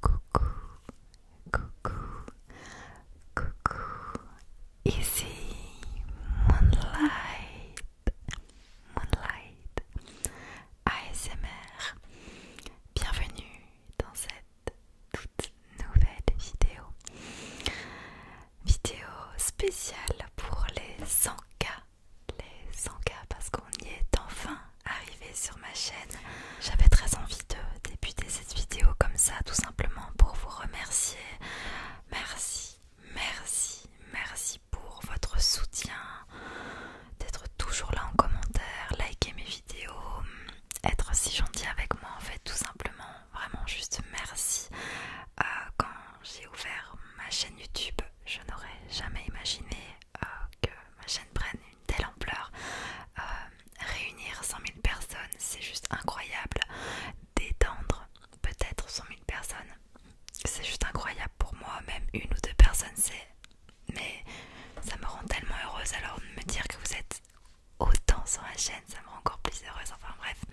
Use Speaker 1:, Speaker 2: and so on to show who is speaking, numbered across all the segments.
Speaker 1: Coucou, coucou, coucou. Ici Moonlight, Moonlight ASMR. Bienvenue dans cette toute nouvelle vidéo. Vidéo spéciale pour les 100 les 100 k parce qu'on y est enfin arrivé sur ma chaîne. J'avais très envie de débuter cette vidéo comme ça, tout simplement pour vous remercier. Merci, merci, merci pour votre soutien, d'être toujours là en commentaire, liker mes vidéos, être si gentil avec moi en fait, tout simplement. Vraiment, juste merci. Euh, quand j'ai ouvert ma chaîne YouTube, je n'aurais jamais imaginé euh, que ma chaîne prenne une telle ampleur. Euh, réunir 100 000 personnes, c'est juste incroyable. Détendre peut-être 100 000 personnes, c'est juste incroyable pour moi. Même une ou deux personnes, c'est. Mais ça me rend tellement heureuse. Alors de me dire que vous êtes autant sur la chaîne, ça me rend encore plus heureuse. Enfin bref,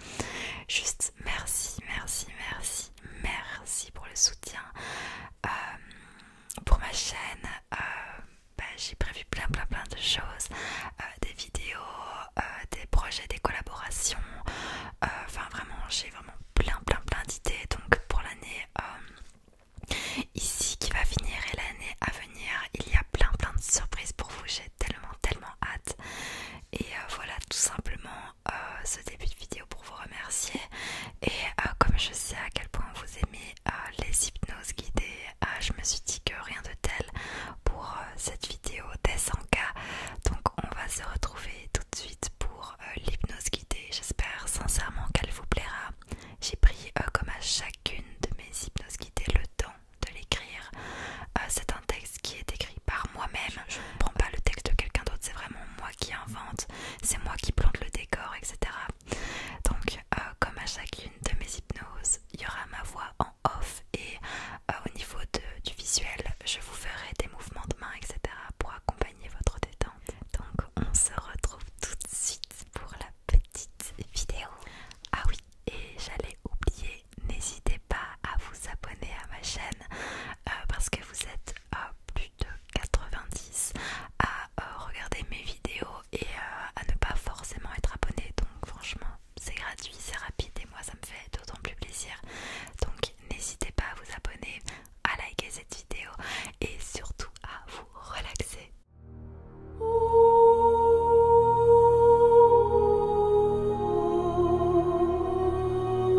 Speaker 1: juste merci, merci, merci merci, pour le soutien. Euh, pour ma chaîne, euh, bah, j'ai prévu plein plein plein de choses, euh, des vidéos, des projets, des collaborations. Enfin vraiment, j'ai vraiment plein plein plein d'idées. Donc pour l'année ici qui va finir et l'année à venir, il y a plein plein de surprises pour vous. J'ai tellement tellement hâte. Et voilà tout simplement euh, ce début de vidéo pour vous remercier et euh, comme je sais à quel point vous aimez euh, les hypnoses guidées, je me suis dit que rien de tel pour cette vidéo des 100K. Donc on va se retrouver tout de suite pour l'hypnose guidée. J'espère sincèrement qu'elle vous plaira. J'ai pris comme à chacune de mes hypnoses guidées le temps de l'écrire. C'est un texte ce qui est écrit par moi-même. Je ne prends pas le texte de quelqu'un d'autre, c'est vraiment moi qui invente, c'est moi qui plante le décor, etc. Donc, euh, comme à chacune de mes hypnoses, il y aura ma voix en off et euh, au niveau du visuel, je vous ferai des mouvements de main, etc. pour accompagner votre détente. Donc, on se retrouve tout de suite pour la petite vidéo. Ah oui, et j'allais oublier, n'hésitez pas à vous abonner à ma chaîne euh, parce que vous êtes à plus de 90 à euh, regarder mes vidéos et euh, à ne pas forcément être abonné. Donc franchement, c'est gratuit, c'est rapide et moi ça me fait d'autant plus plaisir. Donc n'hésitez pas à vous abonner, à liker cette vidéo et surtout à vous relaxer.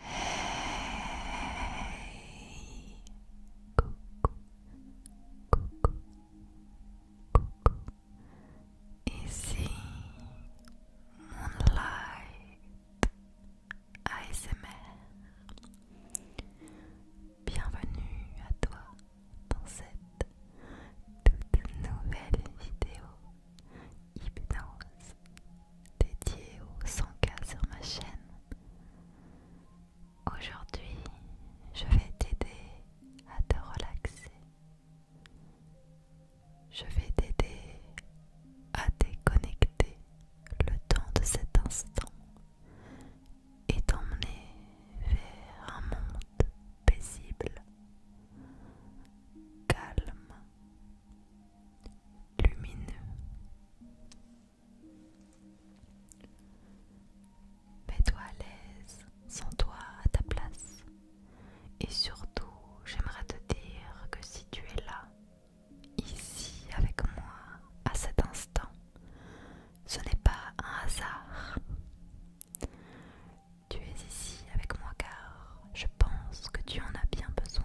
Speaker 1: Hey coucou, coucou, coucou. Ici Moonlight ASMR. Bienvenue à toi dans cette toute nouvelle vidéo Hypnose dédiée aux 100 sur ma chaîne. Aujourd'hui, je vais t'aider à te relaxer. Je vais t'aider à déconnecter le temps de cet instant et t'emmener vers un monde paisible, calme lumineux. Mets-toi à l'aise, sens-toi à ta place. Et surtout, j'aimerais te dire que si tu es là, ici avec moi, à cet instant, ce n'est pas un hasard. Tu es ici avec moi car je pense que tu en as bien besoin.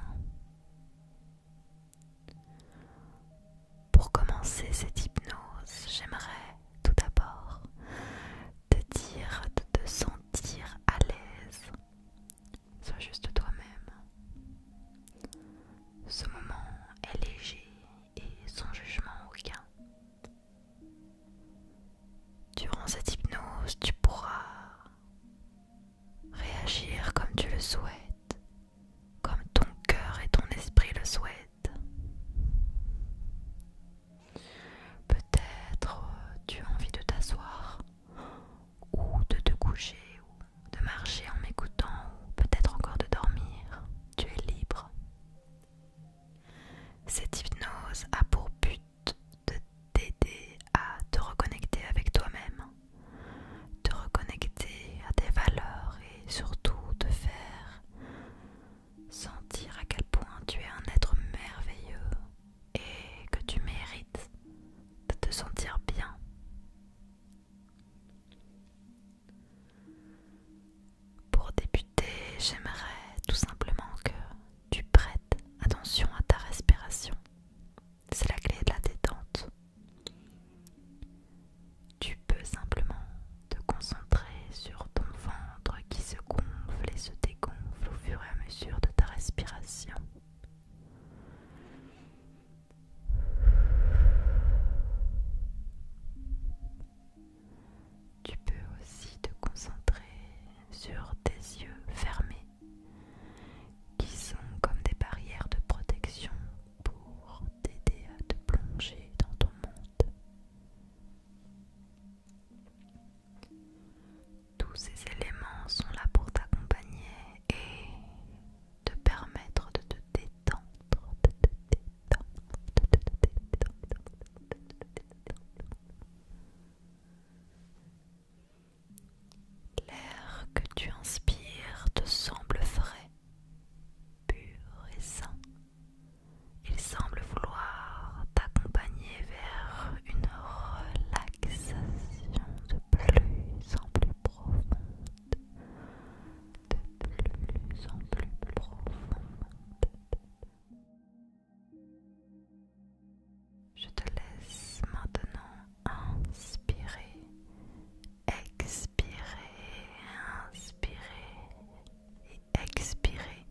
Speaker 1: Pour commencer cette hypnose, j'aimerais tout d'abord te dire de te sentir à l'aise. Sois juste toi-même. Ce moment est léger et sans jugement aucun. Durant cette hypnose, tu pourras réagir comme tu le souhaites, comme ton cœur et ton esprit le souhaitent. Peut-être euh, tu as envie de t'asseoir ou de te coucher ou de marcher en m'écoutant ou peut-être encore de dormir. Tu es libre. Cette hypnose a pour but de t'aider à te reconnecter avec toi-même, te reconnecter à tes valeurs et surtout te faire sentir à quel point tu es un être merveilleux et que tu mérites de te sentir bien. Pour débuter, j'aimerais tout simplement que tu prêtes attention à ta respiration. C'est la clé de la détente. Tu peux simplement te concentrer sur ton ventre qui se gonfle et se dégonfle au fur et à mesure de ta respiration. Tu peux aussi te concentrer sur tes yeux fermés qui sont comme des barrières de protection pour t'aider à te plonger dans ton monde. Tous ces éléments sont là pour t'accompagner et te permettre de te détendre, L'air que tu inspires te semble frais, pur et sain. Il semble vouloir t'accompagner vers une relaxation de plus en plus profonde, de plus en plus profonde. Je te laisse maintenant inspirer, expirer, inspirer et expirer.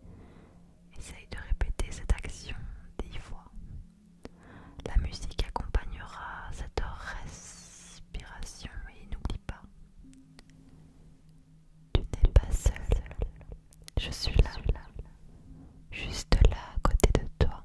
Speaker 1: Essaye de répéter cette action dix fois. La musique accompagnera cette respiration et n'oublie pas, tu n'es pas seul. Je suis là, juste là à côté de toi.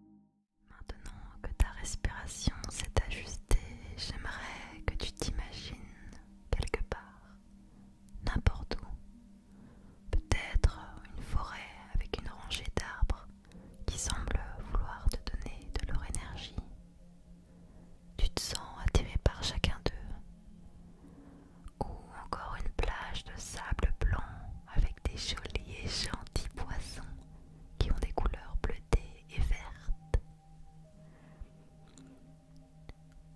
Speaker 1: Maintenant que ta respiration s'est ajustée, j'aimerais que tu t'imagines quelque part, n'importe où, peut-être une forêt avec une rangée d'arbres qui semblent vouloir te donner de leur énergie. Tu te sens attiré par chacun d'eux. Ou encore une plage de sable blanc avec des jolis et gentils poissons qui ont des couleurs bleutées et vertes.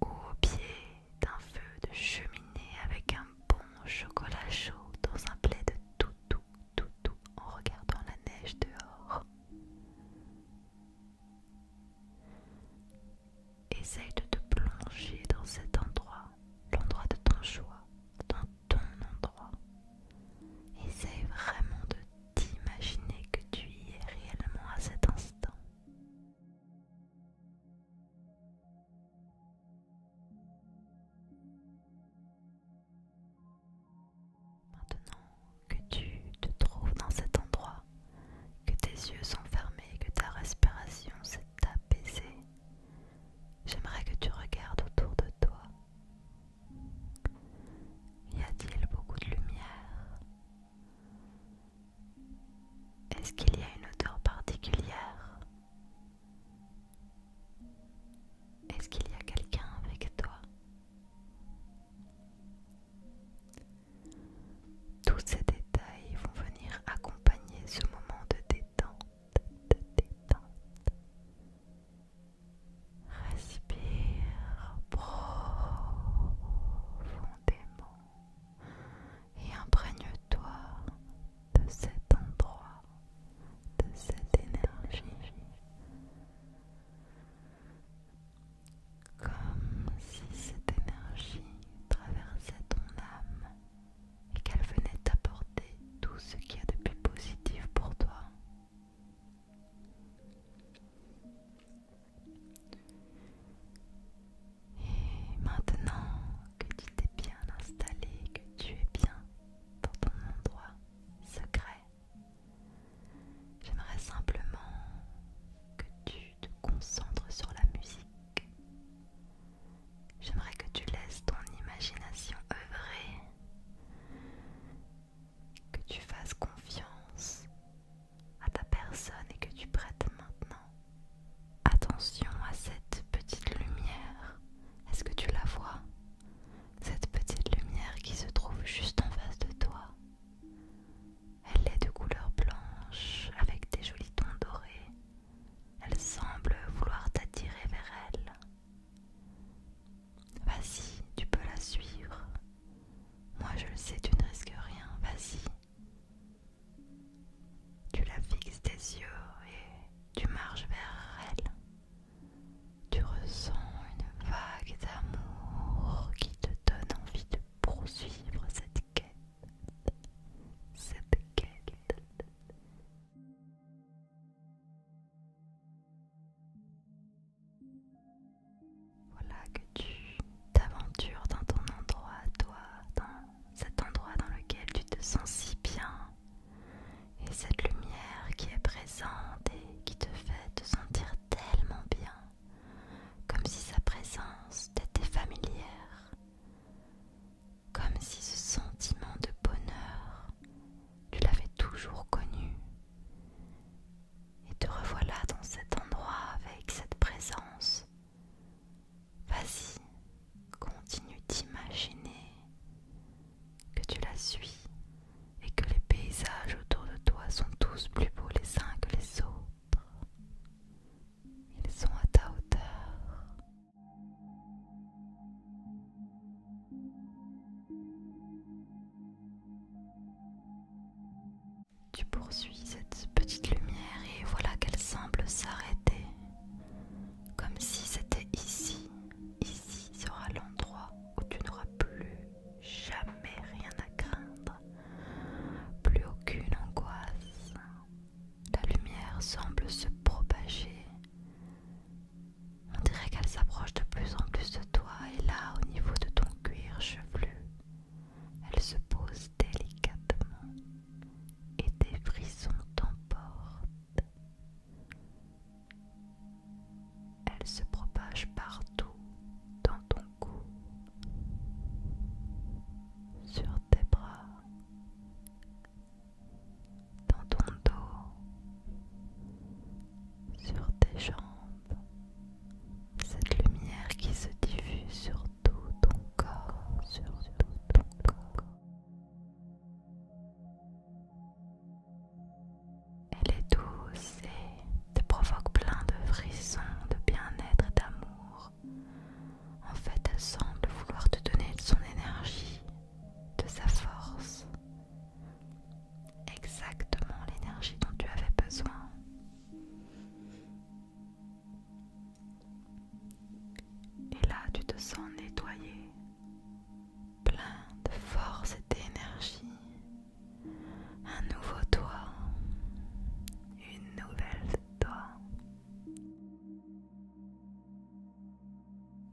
Speaker 1: Au pied d'un feu de cheminée avec un bon chocolat chaud dans un plaid de toutou toutou en regardant la neige dehors. Essaye de te plonger dans cet endroit l'endroit de ton choix, dans ton endroit. Essaye vraiment de t'imaginer que tu y es réellement à cet instant. Maintenant que tu te trouves dans cet endroit, que tes yeux sont fermés, que ta respiration s'est pc j'aimerais que tu regardes autour de toi. Y a-t-il beaucoup de lumière Est-ce qu'il y a une odeur particulière Est-ce qu'il y a quelqu'un avec toi Tous ces détails vont venir accompagner ce moment de détente de détente. Respire profondément et imprègne-toi de cet endroit, de cette énergie. Comme si cette énergie traversait ton âme et qu'elle venait t'apporter tout ce qu'il y a de plus positif pour toi. Et maintenant que tu t'es bien installé, que tu es bien dans ton endroit secret, j'aimerais simplement que tu te concentres sur la musique. J'aimerais que tu laisses ton imagination œuvrer, que tu fasses confiance à ta personne et que tu prêtes maintenant attention à cette petite lumière. Est-ce que tu la vois Cette petite lumière qui se trouve juste en face de toi. Elle est de couleur blanche avec des jolis tons dorés. Elle semble vouloir t'attirer vers elle. Vas-y, tu peux la suivre. Moi je le sais, tu ne risques rien, vas-y. Tu la fixes tes yeux et tu marches vers elle. Tu ressens une vague d'amour qui te donne envie de poursuivre cette quête. Cette quête. Voilà que tu t'aventures dans ton endroit, toi, dans cet endroit dans lequel tu te sens si bien. Et cette lumière qui est présente et qui te fait te sentir tellement bien, comme si sa présence t'était familière comme si ce sentiment de bonheur, tu l'avais toujours connu. Et te revoilà dans cet endroit avec cette présence. Vas-y, continue d'imaginer que tu la suis et que les paysages autour de toi sont tous plus beaux les uns que les autres. Ils sont à ta hauteur. Tu poursuis cette petite lumière et voilà qu'elle semble s'arrêter, comme si c'était ici, ici sera l'endroit où tu n'auras plus jamais rien à craindre, plus aucune angoisse. La lumière semble se propager, on dirait qu'elle s'approche de plus en plus de toi et là, au niveau de ton cuir chevelu, elle se pose délicatement et des frissons t'emportent. Elle se propage partout dans ton cou, sur tes bras, dans ton dos, sur tes jambes, cette lumière qui se diffuse sur tout ton corps, sur tout ton corps. Elle est douce et te provoque plein de frissons, de bien-être et d'amour. En fait, elle semble vouloir te donner de son énergie, de sa force exactement l'énergie dont tu avais besoin. Et là, tu te sens nettoyé, plein de force et d'énergie. Un nouveau toi, une nouvelle toi.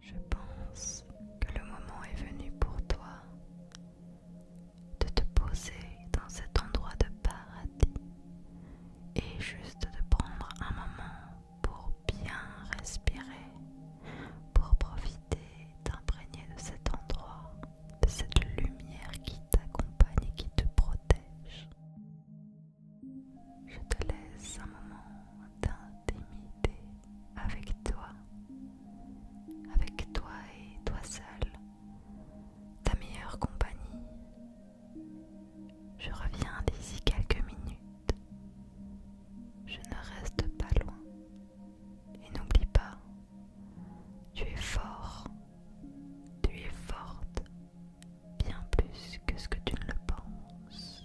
Speaker 1: Je pense que le moment est venu pour toi de te poser dans cet endroit de paradis et juste de prendre un moment pour bien respirer, pour profiter d'imprégner de cet endroit, de cette lumière qui t'accompagne et qui te protège. Je te laisse un moment d'intimité avec toi, avec toi et toi seul, ta meilleure compagnie. Je reviens d'ici quelques minutes. Je ne reste pas loin. Et n'oublie pas, tu es fort, tu es forte, bien plus que ce que tu ne le penses.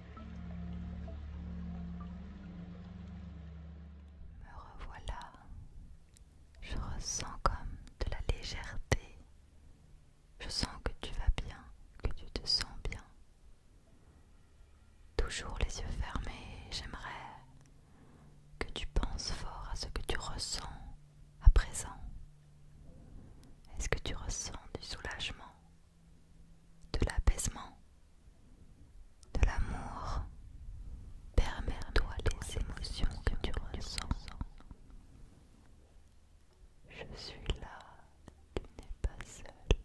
Speaker 1: Me revoilà. Je ressens comme de la légèreté. Je sens que tu vas bien, que tu te sens bien. Toujours les yeux fermés, j'aimerais que tu penses fort à ce que tu ressens à présent. Est-ce que tu ressens du soulagement de l'apaisement, de l'amour. Permets-toi les émotions que tu ressens. Je suis là, tu n'es pas seul.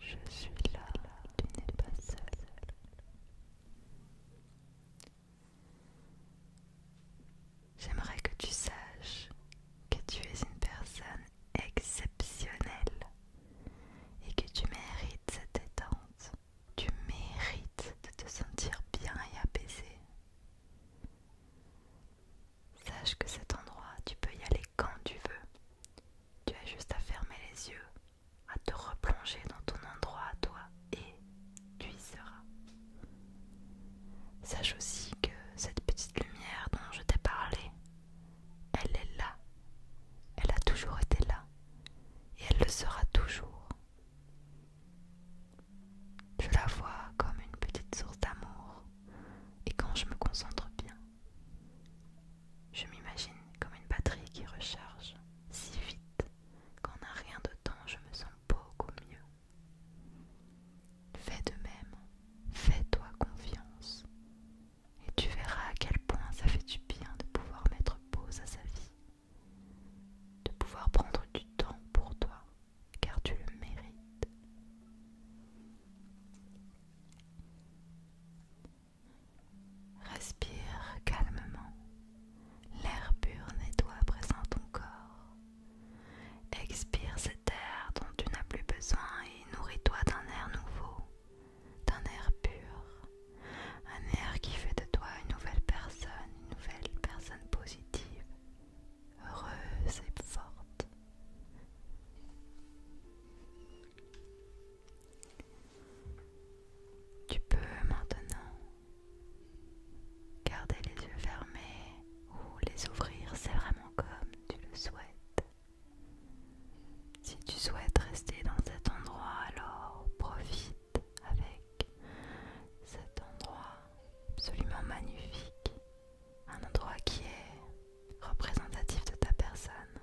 Speaker 1: Je suis là, tu n'es pas seul. J'aimerais que tu saches que tu es une personne exceptionnel et que tu mérites cette détente. Tu mérites de te sentir bien et apaisé. Sache que cet endroit, tu peux y aller quand tu veux. Tu as juste à fermer les yeux, à te replonger dans ton endroit à toi et tu y seras. Sache aussi que cette petite lumière dont je t'ai parlé, elle est là. Elle a toujours été là. Et elle le sera toujours. Je la vois comme une petite source d'amour. Et quand je me concentre bien, je m'imagine comme une batterie qui recharge si vite qu'en un rien de temps, je me sens beaucoup mieux. Fais de même, fais-toi confiance. Et tu verras à quel point ça fait du bien de pouvoir mettre pause à sa vie, de pouvoir prendre du temps pour toi, car tu le mérites. Respire calmement. L'air pur nettoie présent ton corps. Expire cette Terre dont tu n'as plus besoin et nourris-toi d'un air nouveau, d'un air pur, un air qui fait de toi une nouvelle personne, une nouvelle personne positive, heureuse et forte. Tu peux maintenant garder les yeux fermés ou les ouvrir, c'est vraiment comme tu le souhaites. Si tu souhaites rester dans cet endroit, alors profite avec cet endroit absolument magnifique, un endroit qui est représentatif de ta personne.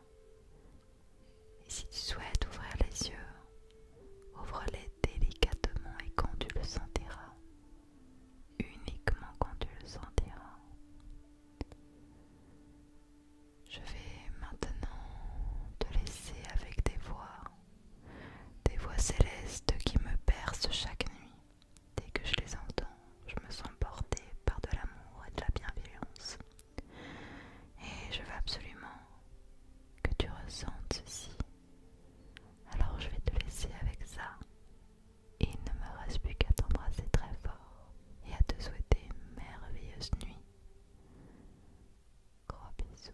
Speaker 1: Et si tu souhaites ouvrir les yeux, ouvre-les délicatement et quand tu le sentiras, uniquement quand tu le sentiras. Je vais maintenant te laisser avec des voix, des voix célestes qui me percent chaque nuit. Dès que je les entends, je me sens portée par de l'amour et de la bienveillance. Et je veux absolument que tu ressentes ceci. Alors je vais te laisser avec ça il ne me reste plus qu'à t'embrasser très fort et à te souhaiter une merveilleuse nuit. Gros bisous.